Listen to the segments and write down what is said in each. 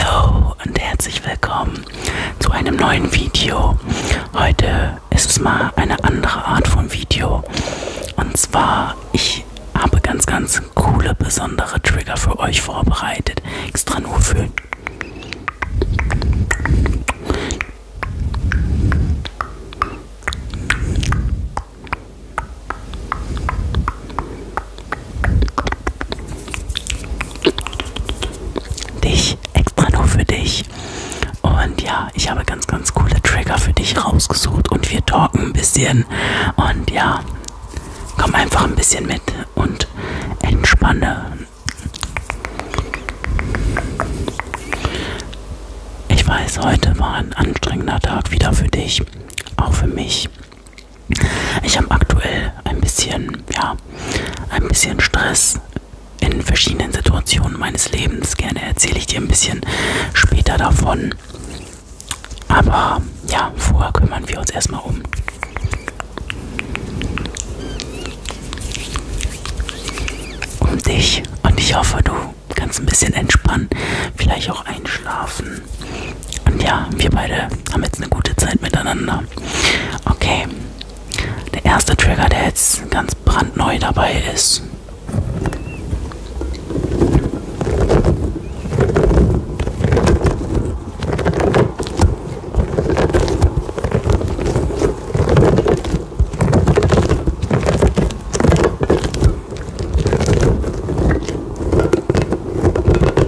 Hallo und herzlich willkommen zu einem neuen Video. Heute ist es mal eine andere Art von Video. Und zwar, ich habe ganz, ganz coole, besondere Trigger für euch vorbereitet. Extra nur für dich, extra nur für dich. Und ja, ich habe ganz, ganz coole Trigger für dich rausgesucht und wir talken ein bisschen. Und ja, komm einfach ein bisschen mit und entspanne. Ich weiß, heute war ein anstrengender Tag wieder für dich, auch für mich. Ich habe aktuell ein bisschen, ja, ein bisschen Stress in verschiedenen Situationen meines Lebens. Gerne erzähle ich dir ein bisschen später davon. Aber ja, vorher kümmern wir uns erstmal um. Um dich. Und ich hoffe, du kannst ein bisschen entspannen. Vielleicht auch einschlafen. Und ja, wir beide haben jetzt eine gute Zeit miteinander. Okay, der erste Trigger, der jetzt ganz brandneu dabei ist.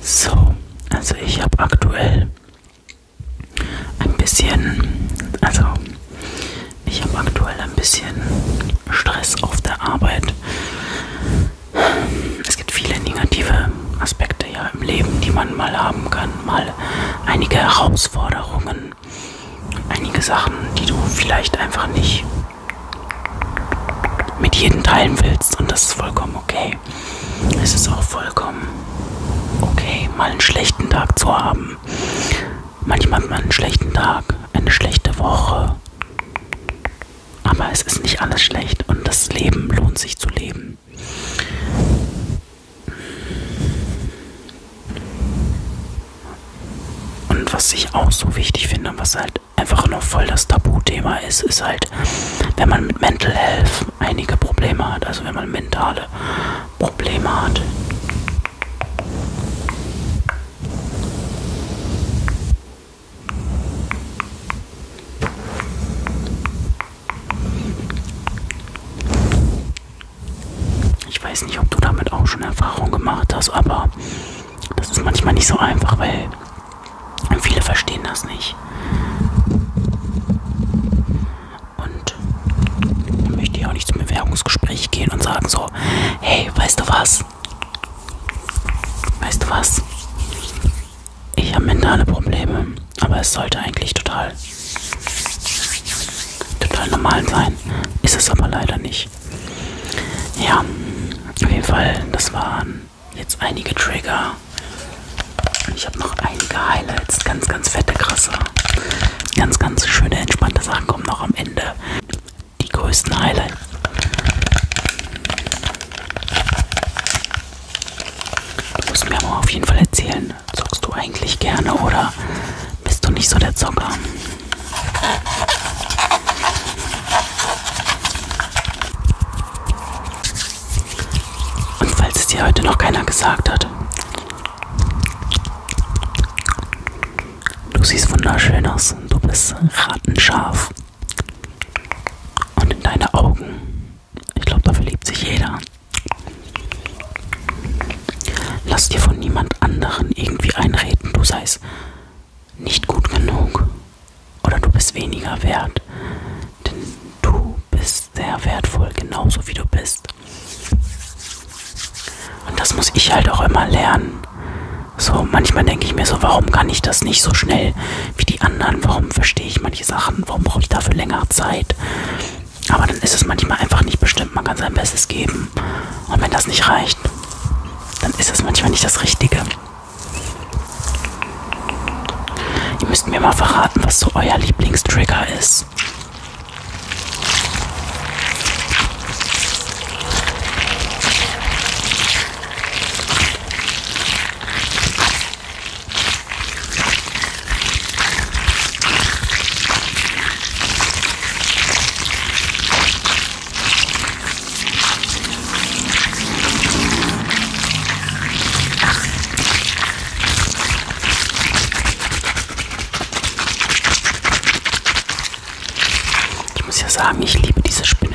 So, also ich habe aktuell ein bisschen, also ich habe aktuell ein bisschen Stress auf der Arbeit. Es gibt viele negative Aspekte ja im Leben, die man mal haben kann, mal einige Herausforderungen einige Sachen, die du vielleicht einfach nicht mit jedem teilen willst und das ist vollkommen okay. Es ist auch vollkommen okay, mal einen schlechten Tag zu haben. Manchmal hat man einen schlechten Tag, eine schlechte Woche. Aber es ist nicht alles schlecht und das Leben lohnt sich zu leben. Und was ich auch so wichtig finde, was halt einfach nur voll das Tabuthema ist, ist halt, wenn man mit Mental Health einige Probleme hat, also wenn man mentale Probleme hat. Ich weiß nicht, ob du damit auch schon Erfahrung gemacht hast, aber das ist manchmal nicht so einfach, weil viele verstehen das nicht. Und man möchte ja auch nicht zum Bewerbungsgespräch gehen und sagen so, hey, weißt du was? Weißt du was? Ich habe mentale Probleme, aber es sollte eigentlich total total normal sein. Ist es aber leider nicht nicht. Ja, auf jeden Fall, das waren jetzt einige Trigger. Ich habe noch einige Highlights, ganz, ganz fette, krasse, ganz, ganz schöne, entspannte Sachen kommen noch am Ende. Die größten Highlights. Du musst mir aber auf jeden Fall erzählen, zockst du eigentlich gerne oder bist du nicht so der Zocker? Und falls es dir heute noch keiner gesagt hat, du siehst wunderschön aus. Du bist rattenscharf. Und in deine Augen, ich glaube, da verliebt sich jeder. Lass dir von niemand anderen irgendwie einreden, du seist nicht gut genug oder du bist weniger wert, denn du bist sehr wertvoll, genauso wie du bist. Und das muss ich halt auch immer lernen. So, manchmal denke ich mir so, warum kann ich das nicht so schnell wie die anderen? Warum verstehe ich manche Sachen? Warum brauche ich dafür länger Zeit? Aber dann ist es manchmal einfach nicht bestimmt. Man kann sein Bestes geben. Und wenn das nicht reicht, dann ist das manchmal nicht das Richtige. Ihr müsst mir mal verraten, was so euer Lieblingstrigger ist. Ich muss ja sagen, ich liebe diese Spinnen.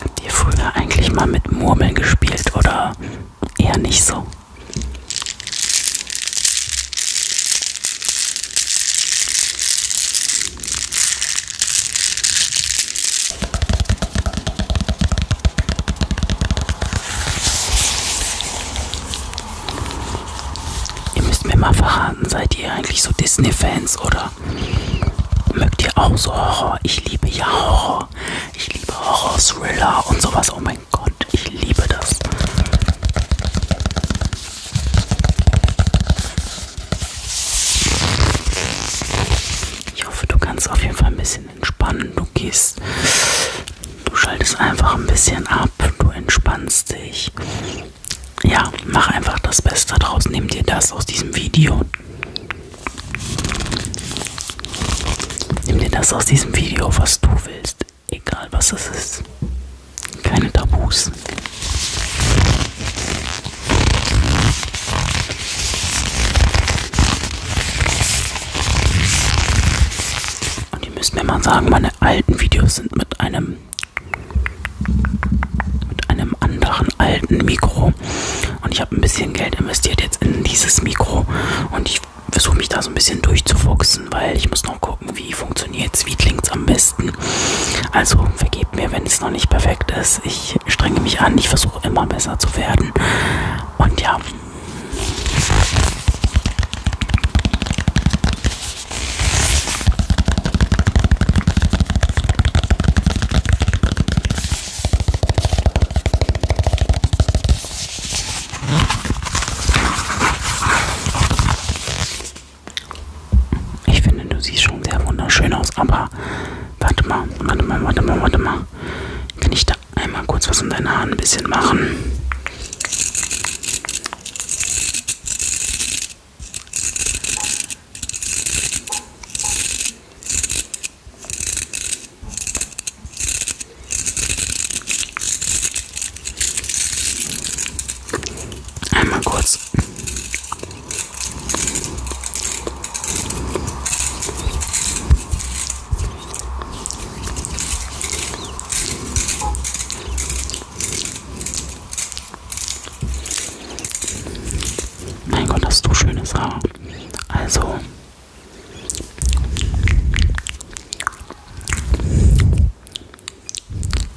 Habt ihr früher eigentlich mal mit Murmeln gespielt oder eher nicht so? Ihr müsst mir mal verraten, seid ihr eigentlich so Disney-Fans oder mögt ihr auch so Horror? Ich liebe ja Horror. Ich liebe Horror-Thriller und sowas. Oh mein Gott, ich liebe das. Ich hoffe, du kannst auf jeden Fall ein bisschen entspannen. Du gehst, du schaltest einfach ein bisschen ab, du entspannst dich. Ja, mach einfach das Beste draus. Nimm dir das aus diesem Video. Nimm dir das aus diesem Video, was du willst. Egal was es ist. Keine Tabus. Und ihr müsst mir mal sagen, meine alten Videos sind mit einem mit einem anderen alten Mikro. Und ich habe ein bisschen Geld investiert jetzt in dieses Mikro. Und ich versuche mich da so ein bisschen durchzufuchsen, weil ich muss noch gucken, wie funktioniert Sweetlings am besten. Also vergebt mir, wenn es noch nicht perfekt ist ist. Ich strenge mich an, ich versuche immer besser zu werden. Und ja. Ich finde, du siehst schon sehr wunderschön aus, aber warte mal, warte mal, warte mal, warte mal. Kann ich da einmal kurz was an deinen Haaren ein bisschen machen? Einmal kurz mein Gott, hast du schönes Haar. Also.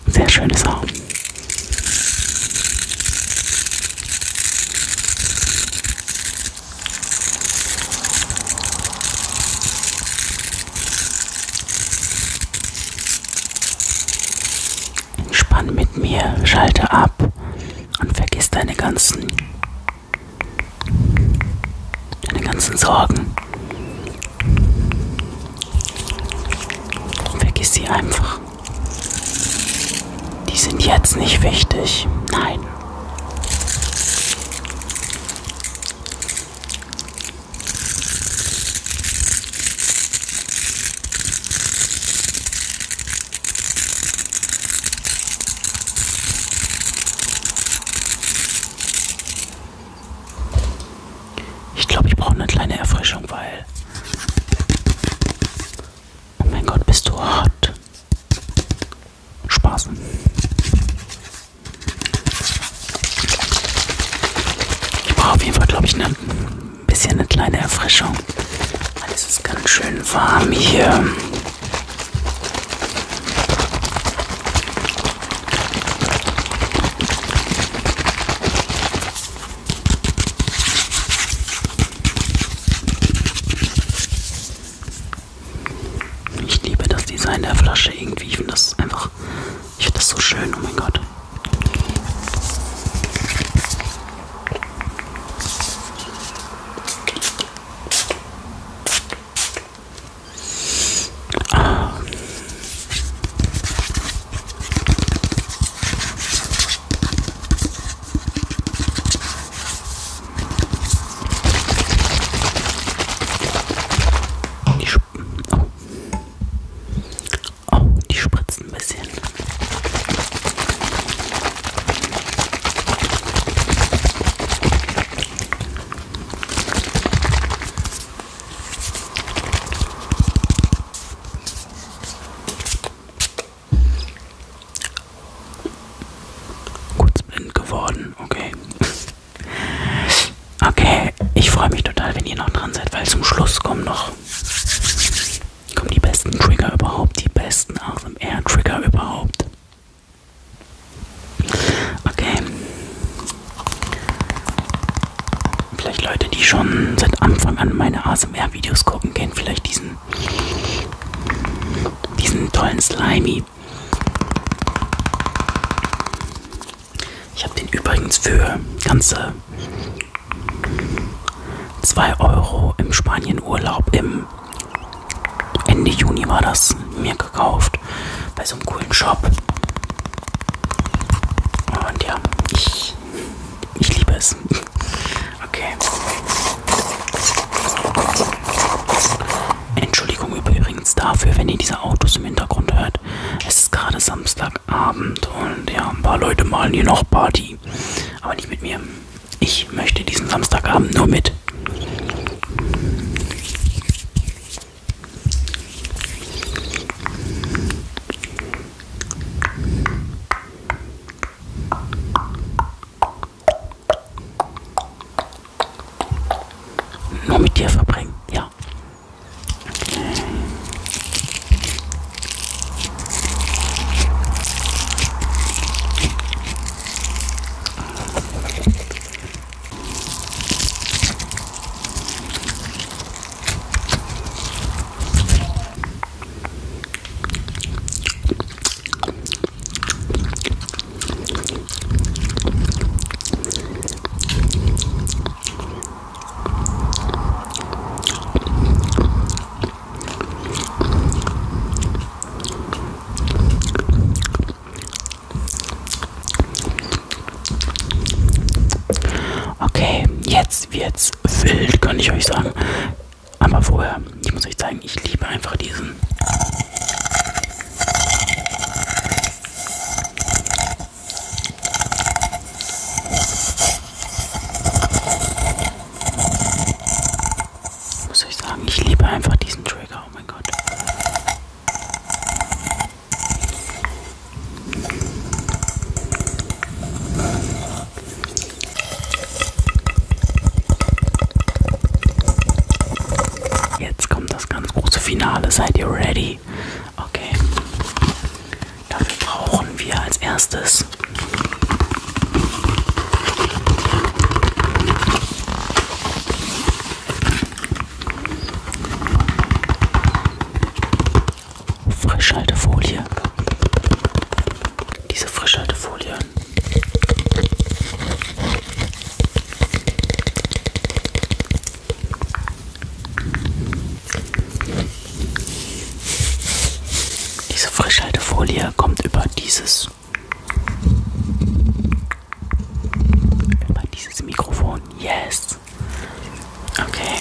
Sehr schönes Haar. Spann mit mir, schalte ab und vergiss deine ganzen, deine ganzen Sorgen. Vergiss sie einfach. Die sind jetzt nicht wichtig. Nein. Ich glaube, ich brauche eine kleine Erfrischung, weil Oh mein Gott, bist du hot. Spaß. Ich brauche auf jeden Fall, glaube ich, ne, ein ne, bisschen eine kleine Erfrischung. Weil es ist ganz schön warm hier. Ich liebe das Design der Flasche irgendwie. Ich finde das einfach. Ich finde das so schön, oh mein Gott. Ah. Die, Sp oh. Oh, die spritzen ein bisschen. Kurz blind geworden, okay. Okay, ich freue mich total, wenn ihr noch dran seid, weil zum Schluss kommen noch kommen die besten Trigger überhaupt, die besten ASMR-Trigger überhaupt. Okay. Vielleicht Leute, die schon seit Anfang an meine ASMR-Videos gucken, kennen vielleicht diesen diesen, diesen tollen Slimy. Ich habe den übrigens für ganze 2 Euro im Spanienurlaub im Ende Juni war das mir gekauft bei so einem coolen Shop. Und ja, ich, ich liebe es. Okay. Entschuldigung übrigens dafür, wenn ihr diese Autos im Hintergrund hört. Es ist gerade Samstagabend und ja, ein paar Leute malen hier noch Party. Aber nicht mit mir. Ich möchte diesen Samstagabend nur mit. Nur mit dir verbringen, ja. Okay. Okay, jetzt wird's wild, kann ich euch sagen. Aber vorher, ich muss euch zeigen, ich liebe einfach diesen. Ich muss euch sagen, ich liebe einfach diesen Trigger, oh mein Gott. Wasser. Jetzt kommt das ganz große Finale. Seid ihr ready? Okay. Dafür brauchen wir als erstes Frischhaltefolie. Diese Frischhaltefolie diese Frischhaltefolie kommt über dieses über dieses Mikrofon. Yes. Okay.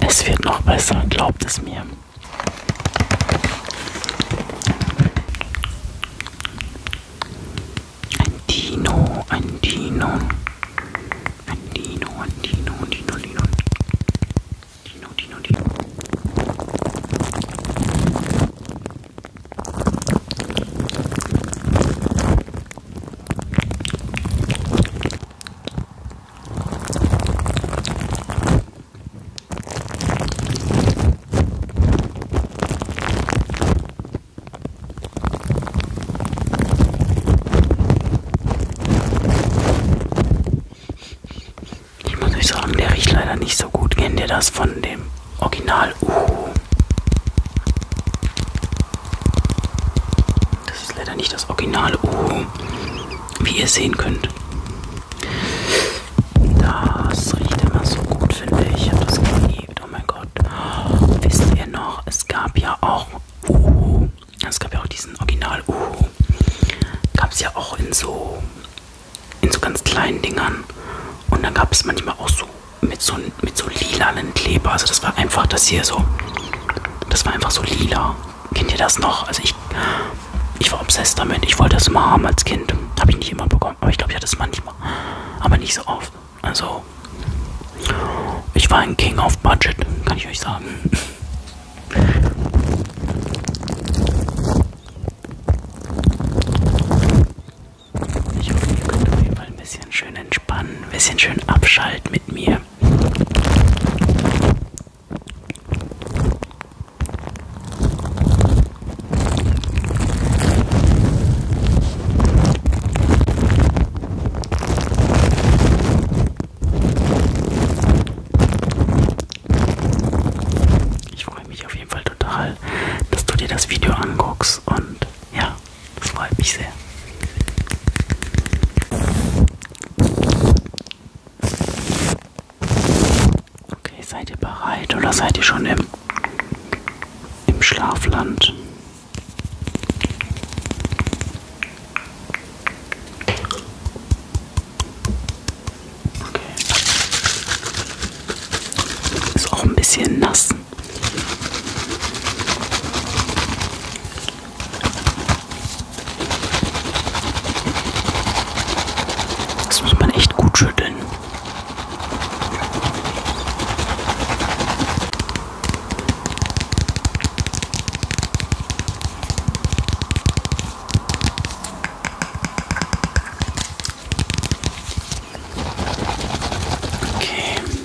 Es wird noch besser, glaubt es mir. Ein Dino, ein Dino. Ein Dino, ein Dino, Dino, Dino. Dino, Dino, Dino. Ich muss euch sagen, der riecht leider nicht so gut. Kennt ihr das von dem Original Uhu. Das ist leider nicht das originale Uhu, wie ihr sehen könnt. Das riecht immer so gut, finde ich. Ich habe das geliebt. Oh mein Gott. Wisst ihr noch, es gab ja auch Uhu. Es gab ja auch diesen Original Uhu. Gab es ja auch in so, in so ganz kleinen Dingern. Und dann gab es manchmal auch so mit so, mit so lilanen Kleber. Also das war einfach das hier so. Das war einfach so lila. Kennt ihr das noch? Also ich, ich war obsessed damit. Ich wollte das immer haben als Kind. Habe ich nicht immer bekommen, aber ich glaube, ich hatte es manchmal. Aber nicht so oft. Also, ich war ein King of Budget, kann ich euch sagen. Ich hoffe, ihr könnt auf jeden Fall ein bisschen schön entspannen, ein bisschen schön abschalten mit mir. Ich freue mich auf jeden Fall total, dass du dir das Video anguckst und ja, das freut mich sehr. Okay, seid ihr bereit oder seid ihr schon im, im Schlafland? Okay. Ist auch ein bisschen nass. Das muss man echt gut schütteln. Okay.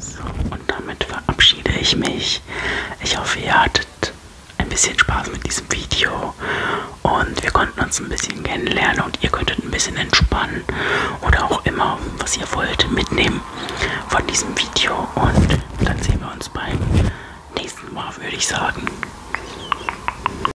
So, und damit verabschiede ich mich. Ich hoffe, ihr hattet ein bisschen Spaß mit diesem Video und wir konnten uns ein bisschen kennenlernen und ihr könntet ein bisschen entspannen oder auch immer, was ihr wollt, mitnehmen von diesem Video. Und dann sehen wir uns beim nächsten Mal, würde ich sagen.